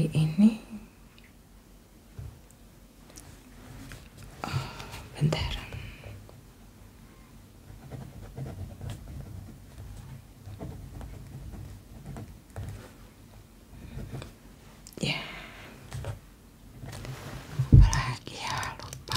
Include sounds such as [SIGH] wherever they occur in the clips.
ini oh, bentar ya apalagi ya lupa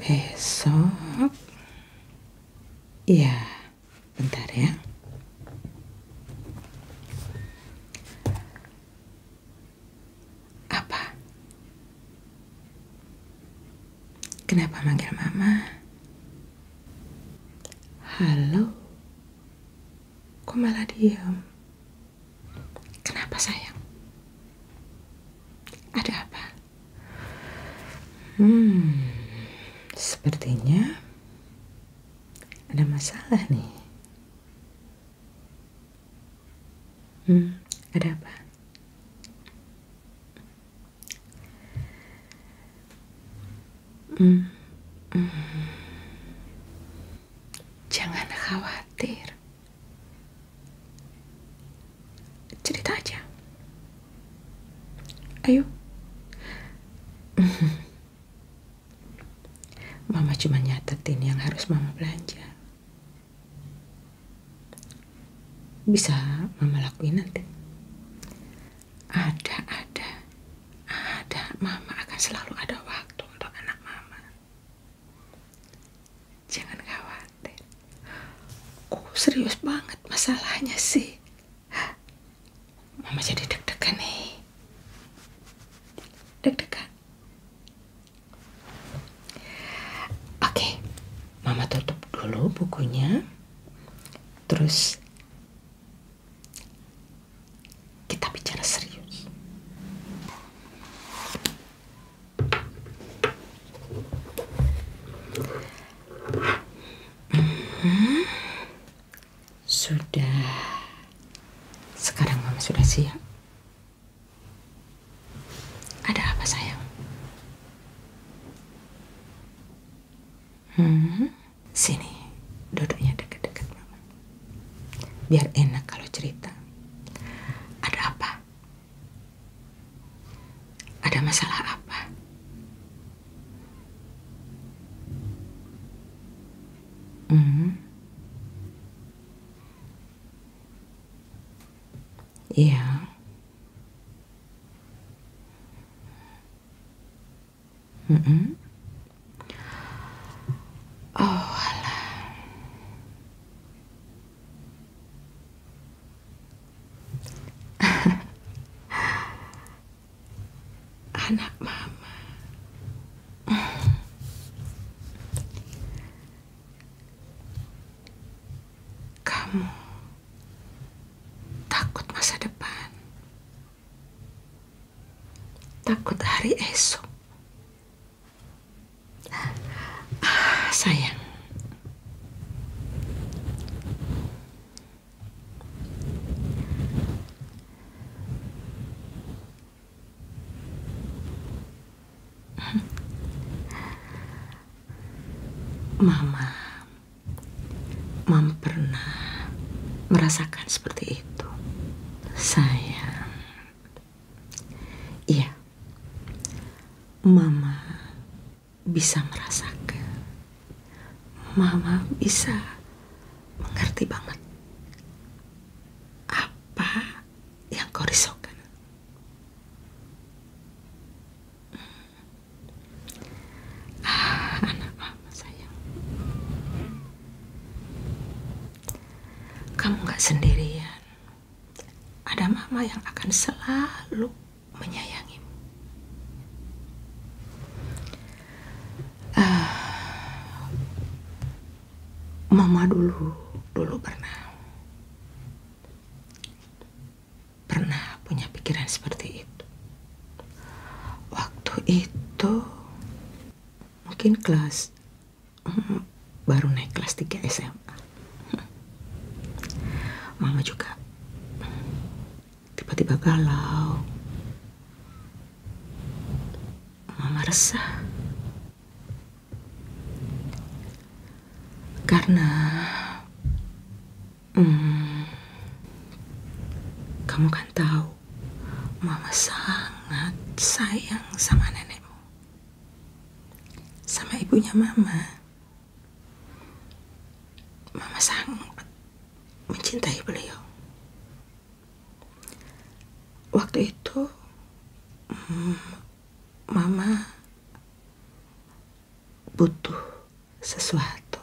Besok. Iya, bentar ya. Apa? Kenapa manggil mama? Halo. Kok malah diam? Kenapa sayang? Ada apa? Hmm, sepertinya ada masalah nih. Hmm, ada apa? Hmm, hmm. Jangan khawatir. Cerita aja. Ayo. [LAUGHS] Mama cuma nyatetin yang harus mama belanja. Bisa mama lakuin nanti. Ada, ada, ada. Mama akan selalu ada waktu untuk anak mama. Jangan khawatir. Oh, serius banget masalahnya sih. Mama jadi deg-degan nih. Deg-degan. Oke, Mama tutup dulu bukunya. Terus kita bicara serius. Hmm. Sudah. Sekarang mama sudah siap. Ada apa sayang? Hmm. Sini, duduknya dekat-dekat mama. Biar enak kalau cerita. Ada apa? Ada masalah apa? Hmm. Iya. Mm -mm. Oh, alah. [LAUGHS] Anak mama. Kamu takut masa depan. Takut hari esok. Ah, sayang. Mama, Mama pernah merasakan seperti itu itu sayang iya mama bisa merasakan mama bisa mengerti banget apa yang kau risaukan hmm. ah, anak mama sayang kamu gak sendirian. Ada mama yang akan selalu menyayangimu. Uh, mama dulu, dulu pernah. Pernah punya pikiran seperti itu. Waktu itu mungkin kelas mm, baru naik kelas 3 SMA mama juga mm, tiba-tiba galau mama resah karena hmm, kamu kan tahu tahu mama sangat sayang sama nenekmu. Sama ibunya mama. Mama sangat mencintai beliau. Waktu itu mm, mama butuh sesuatu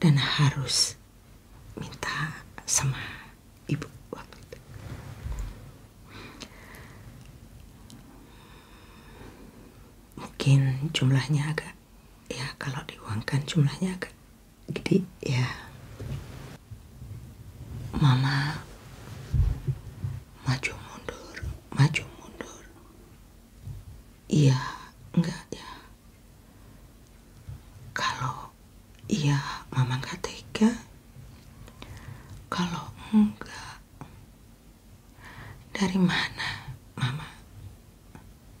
dan harus minta sama ibu waktu itu. Mungkin jumlahnya agak ya kalau diuangkan jumlahnya agak gede ya. Mama maju mundur, maju mundur. Iya, enggak ya. Kalau iya, Mama nggak tega. Kalau enggak, dari mana Mama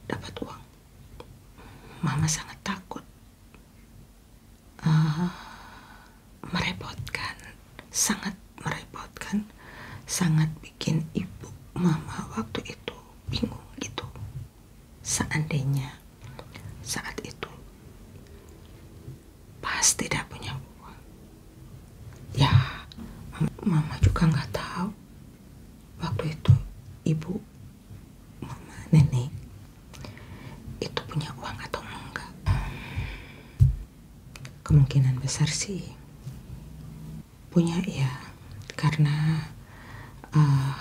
dapat uang? Mama sangat takut uh, merepotkan, sangat merepotkan, sangat bikin ibu Mama waktu itu bingung gitu seandainya saat itu pas tidak punya uang ya mama juga nggak tahu waktu itu ibu mama nenek itu punya uang atau enggak kemungkinan besar sih punya ya karena uh,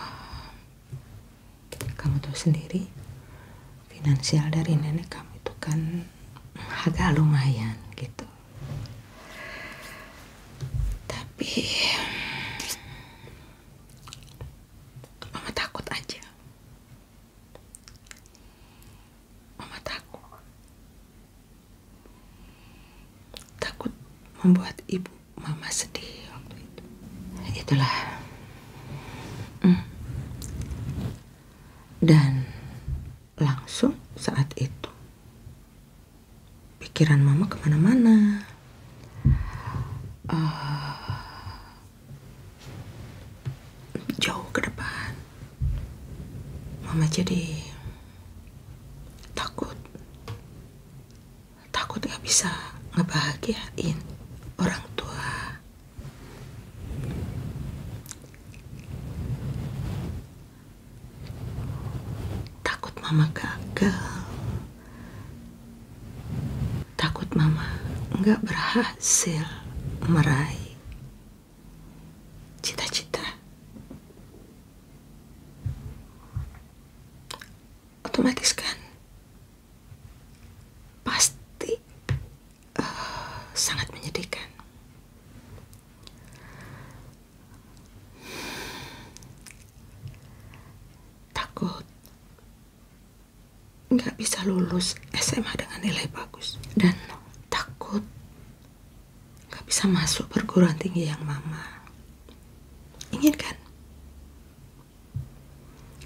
kamu tuh sendiri finansial dari nenek kamu itu kan agak lumayan gitu tapi mama takut aja mama takut Takut membuat ibu mama sedih waktu itu. Itulah. Hmm. Dan langsung saat itu pikiran mama kemana-mana. Eh, jauh ke depan. Mama jadi takut takut gak bisa ngebahagiain orang tua takut mama gagal takut mama nggak berhasil meraih cita-cita otomatis kan pasti uh, sangat menyedihkan takut nggak bisa lulus SMA dengan nilai bagus dan takut Gak bisa masuk perguruan tinggi yang mama inginkan.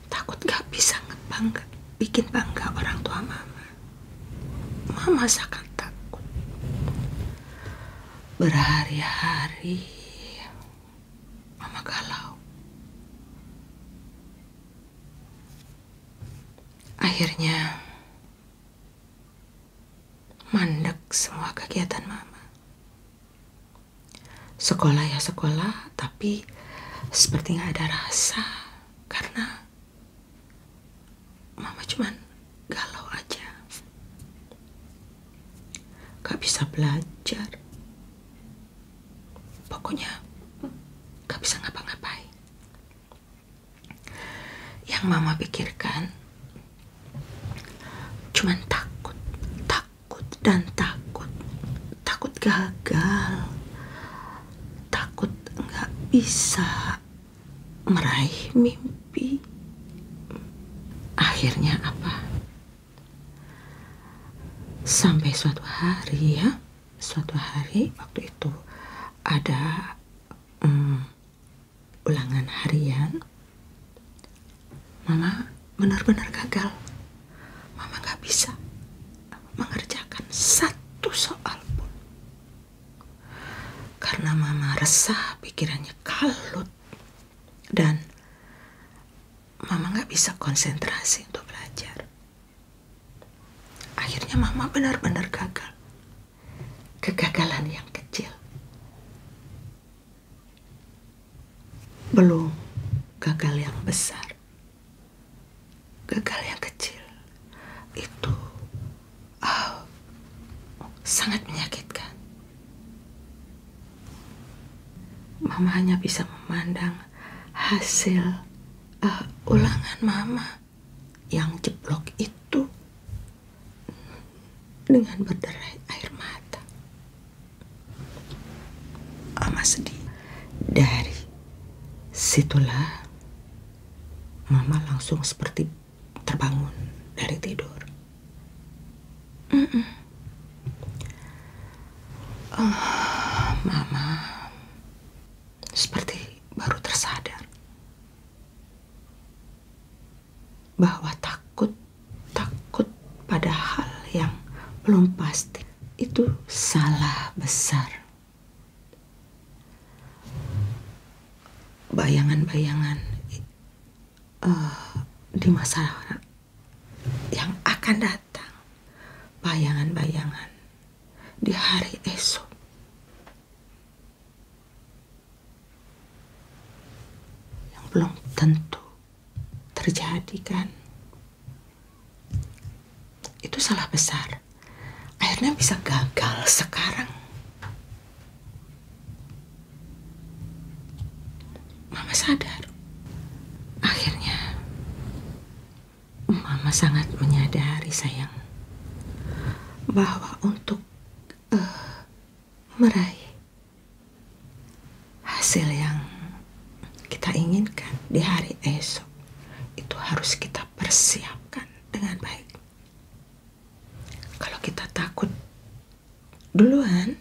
Takut gak bisa ngebangga, bikin bangga orang tua mama. Mama sangat takut. Berhari-hari mama galau. Akhirnya mandek semua kegiatan mama. Sekolah ya sekolah, tapi seperti nggak ada rasa karena mama cuman galau aja. Gak bisa belajar. Pokoknya gak bisa ngapa-ngapain yang mama pikirkan cuman takut takut dan takut takut gagal takut nggak bisa meraih mimpi akhirnya apa sampai suatu hari ya suatu hari waktu itu ada hmm, ulangan harian, Mama benar-benar gagal. Mama gak bisa mengerjakan satu soal pun. Karena Mama resah, pikirannya kalut. Dan Mama gak bisa konsentrasi untuk belajar. Akhirnya Mama benar-benar gagal kegagalan yang kecil. Belum gagal yang besar. Gagal yang kecil itu oh, sangat menyakitkan. Mama hanya bisa memandang hasil uh, ulangan mama yang jeblok itu dengan berderai air mata. Mama sedih. Dari situlah Mama langsung seperti terbangun dari tidur. Mm -mm. Oh, mama, seperti baru tersadar bahwa takut takut pada hal yang belum pasti itu salah besar. Bayangan-bayangan uh, di masa yang akan datang, bayangan-bayangan di hari esok yang belum tentu terjadi kan itu salah besar akhirnya bisa gagal sekarang mama sadar akhirnya mama sangat menyadari sayang bahwa untuk uh, meraih hasil yang kita inginkan di hari esok itu harus kita persiapkan dengan baik. Kalau kita takut duluan,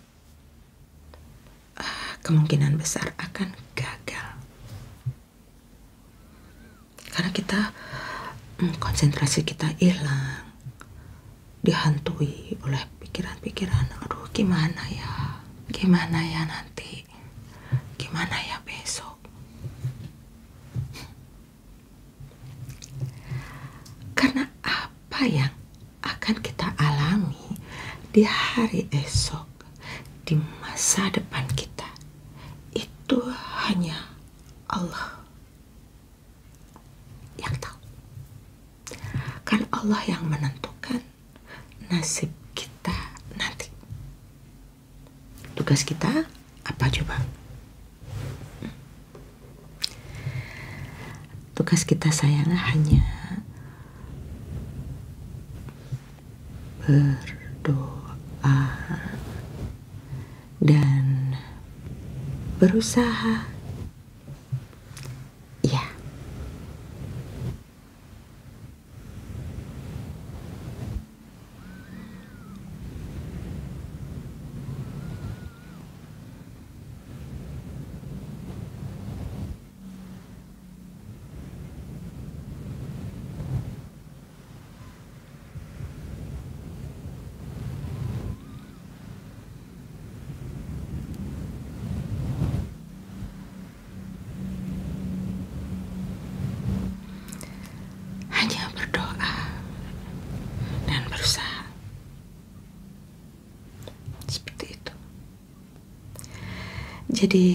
uh, kemungkinan besar akan gagal. Karena kita hmm, konsentrasi kita hilang, dihantui oleh pikiran-pikiran. Aduh, gimana ya? Gimana ya nanti? Gimana ya besok? Karena apa yang akan kita alami di hari esok, di masa depan kita, itu hanya Allah yang tahu. Karena Allah yang menentukan nasib kita nanti. Tugas kita apa coba? Tugas kita sayang hanya berdoa dan berusaha. Ya. Hanya berdoa dan berusaha seperti itu. Jadi,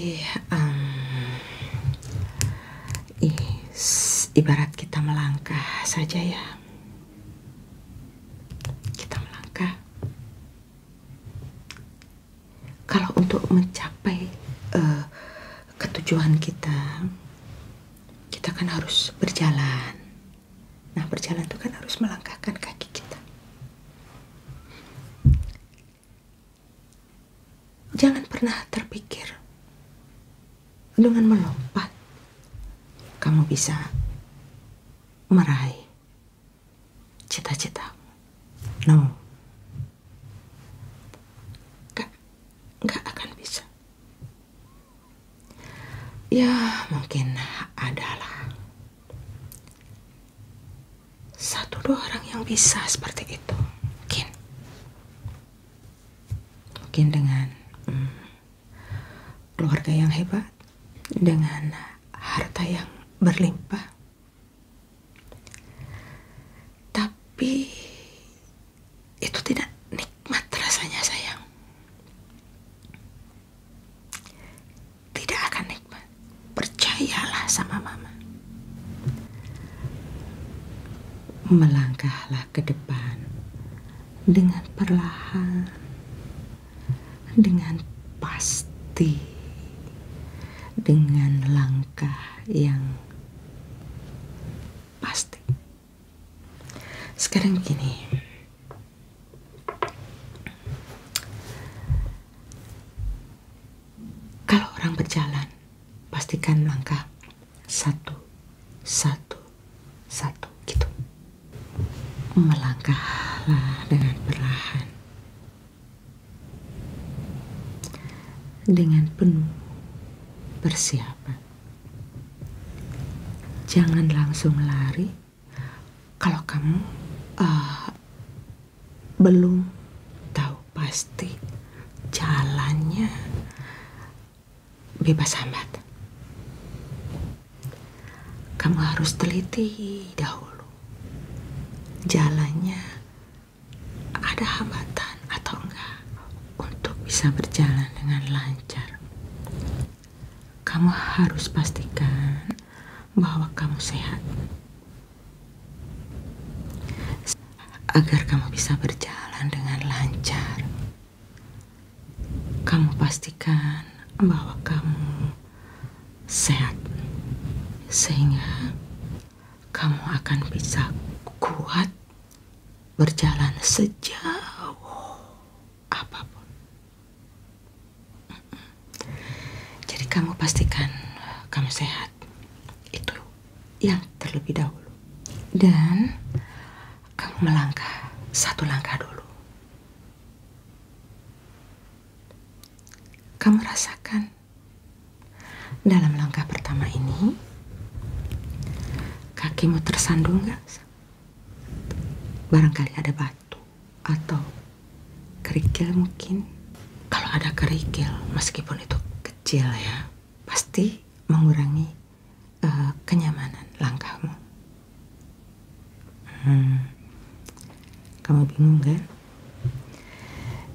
ibarat kita melangkah saja ya kita melangkah kalau untuk mencapai uh, ketujuan kita kita kan harus berjalan nah berjalan itu kan harus melangkahkan kaki kita Jangan pernah terpikir dengan melompat kamu bisa meraih cita-cita. No. Gak, gak akan bisa. Ya, mungkin adalah satu dua orang yang bisa seperti itu mungkin mungkin dengan hmm, keluarga yang hebat dengan harta yang berlimpah tapi itu tidak nikmat rasanya sayang tidak akan nikmat Percayalah sama mama. Melangkahlah ke depan dengan perlahan, dengan pasti, dengan langkah yang pasti. Sekarang gini. Kalau orang berjalan, pastikan langkah satu, satu, satu gitu. Melangkahlah dengan perlahan. Dengan penuh persiapan. Jangan langsung lari kalau kamu uh, belum tahu pasti jalannya bebas hambat. Kamu harus teliti dahulu. Jalannya ada hambatan atau enggak untuk bisa berjalan dengan lancar. Kamu harus pastikan bahwa kamu sehat agar kamu bisa berjalan dengan lancar. Kamu pastikan bahwa kamu sehat, sehingga kamu akan bisa kuat berjalan sejauh apapun. Jadi kamu pastikan eh, kamu sehat. Itu yang terlebih dahulu. Dan kamu melangkah satu langkah dulu. Kamu rasakan dalam langkah pertama ini kakimu tersandung gak? Barangkali ada batu atau kerikil mungkin kalau ada kerikil meskipun itu kecil ya pasti mengurangi uh, kenyamanan langkahmu hmm. kamu bingung kan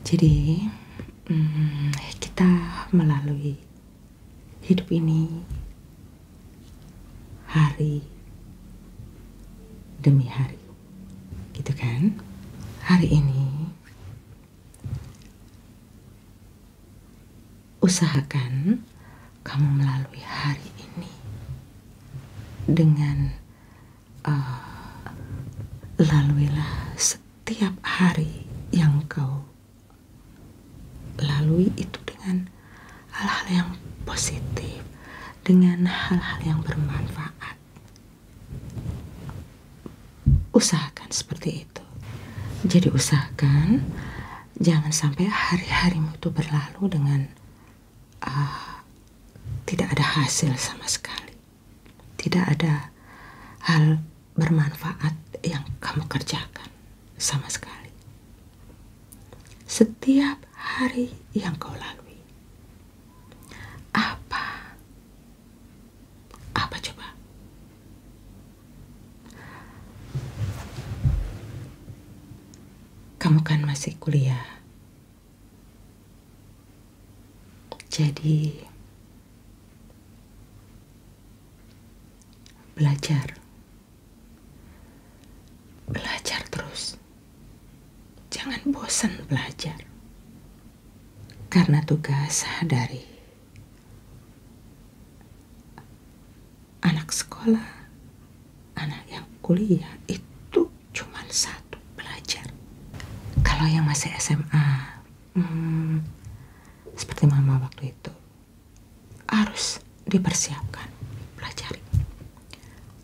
jadi hmm, kita melalui hidup ini hari demi hari gitu kan hari ini usahakan kamu melalui hari ini dengan uh, laluilah setiap hari yang kau lalui itu dengan hal-hal yang positif dengan hal-hal yang bermanfaat usahakan seperti itu. Jadi usahakan jangan sampai hari-harimu itu berlalu dengan uh, tidak ada hasil sama sekali. Tidak ada hal bermanfaat yang kamu kerjakan sama sekali. Setiap hari yang kau lalui, apa? Apa coba? Kamu kan masih kuliah. Jadi belajar. Belajar terus. Jangan bosan belajar. Karena tugas dari anak sekolah, anak yang kuliah itu cuma satu, belajar. Kalau yang masih SMA, hmm, seperti mama waktu itu, harus dipersiapkan, pelajari.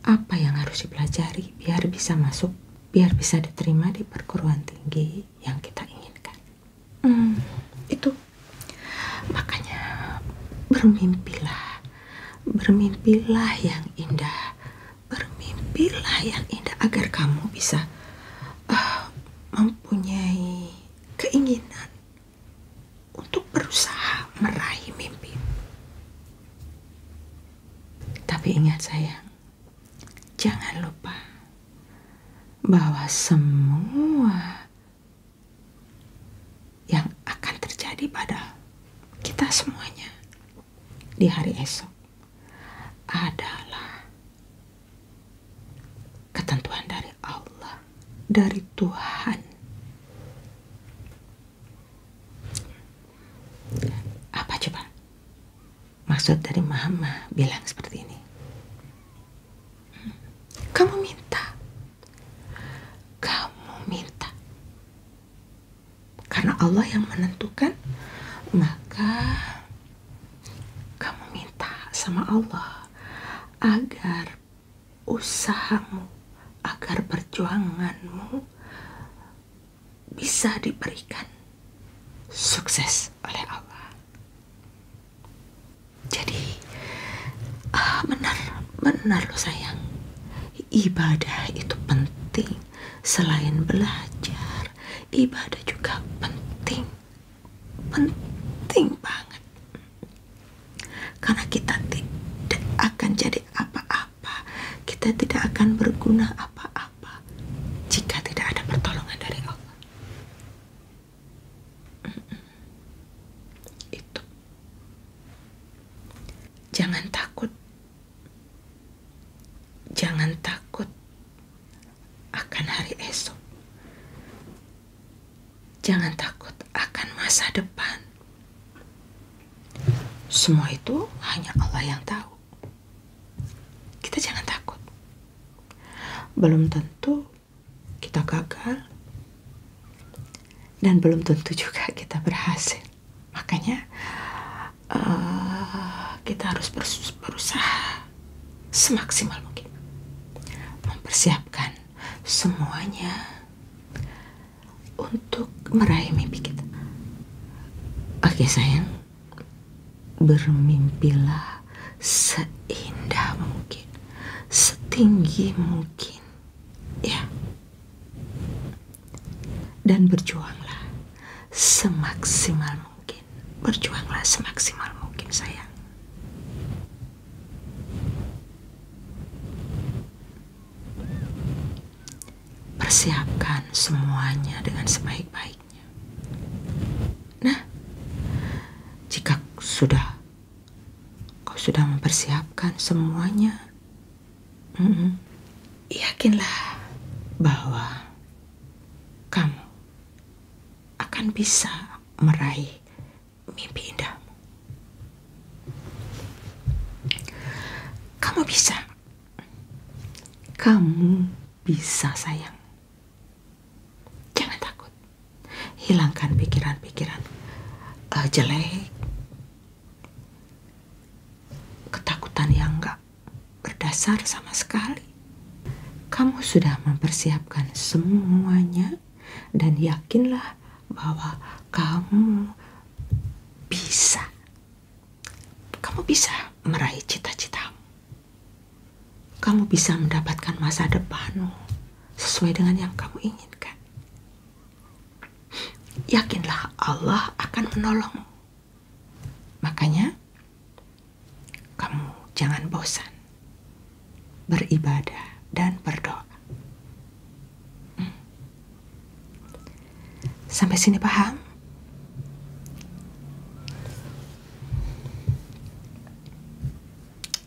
Apa yang harus dipelajari biar bisa masuk, biar bisa diterima di perguruan tinggi yang kita inginkan? Hmm, itu makanya bermimpilah, bermimpilah yang indah, bermimpilah yang indah agar kamu bisa uh, mempunyai keinginan untuk berusaha meraih mimpi. Tapi ingat sayang, jangan lupa bahwa semua yang akan terjadi pada kita semuanya di hari esok adalah ketentuan dari Allah, dari Tuhan. Apa coba? Maksud dari mama bilang seperti ini. Hmm? Kamu minta. Kamu minta. Karena Allah yang menentukan, maka kamu minta sama Allah agar usahamu, agar perjuanganmu bisa diberikan sukses oleh Allah. Jadi, ah, benar, benar loh sayang. Ibadah itu penting. Selain belajar, ibadah juga penting. Penting banget. Karena kita tidak akan jadi apa-apa apa-apa. Kita tidak akan berguna apa-apa jika tidak ada pertolongan dari Allah. Itu. Jangan takut. Jangan takut akan hari esok. Jangan takut akan masa depan. Semua itu hanya Allah yang tahu. Kita jangan takut. Belum tentu kita gagal dan belum tentu juga kita berhasil. Makanya uh, kita harus berusaha semaksimal mungkin mempersiapkan semuanya untuk meraih mimpi kita. Oke sayang, bermimpilah seindah mungkin, setinggi mungkin, ya. Dan berjuanglah semaksimal mungkin, berjuanglah semaksimal mungkin sayang. Persiapkan semuanya dengan sebaik-baiknya. Nah, jika sudah kau sudah mempersiapkan semuanya, mm -mm, yakinlah bahwa kamu akan bisa meraih mimpi indah. Kamu bisa. Kamu bisa, sayang. Jangan takut. Hilangkan pikiran-pikiran uh, jelek, ketakutan yang enggak berdasar sama sekali. Kamu sudah mempersiapkan semuanya dan yakinlah bahwa kamu bisa kamu bisa meraih cita-citamu kamu bisa mendapatkan masa depanmu sesuai dengan yang kamu inginkan yakinlah Allah akan menolongmu makanya kamu jangan bosan beribadah dan berdoa Sampai sini paham?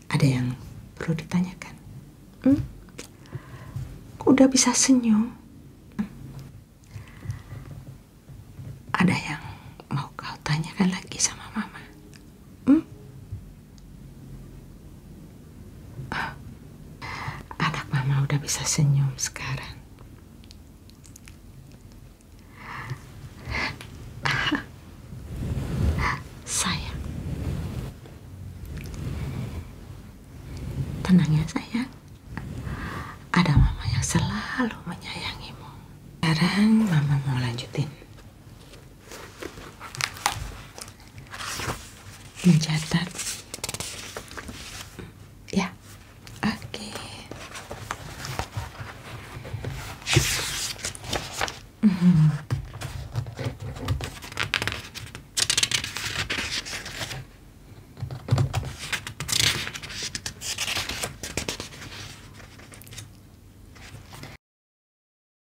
Ada yang perlu ditanyakan? Hmm? Udah bisa senyum? Ada yang mau kau tanyakan lagi sama mama? Hmm? Anak mama udah bisa senyum sekarang. Sayang. Tenang ya sayang. Ada mama yang selalu menyayangimu. Sekarang mama mau lanjutin mencatat ya oke hmm.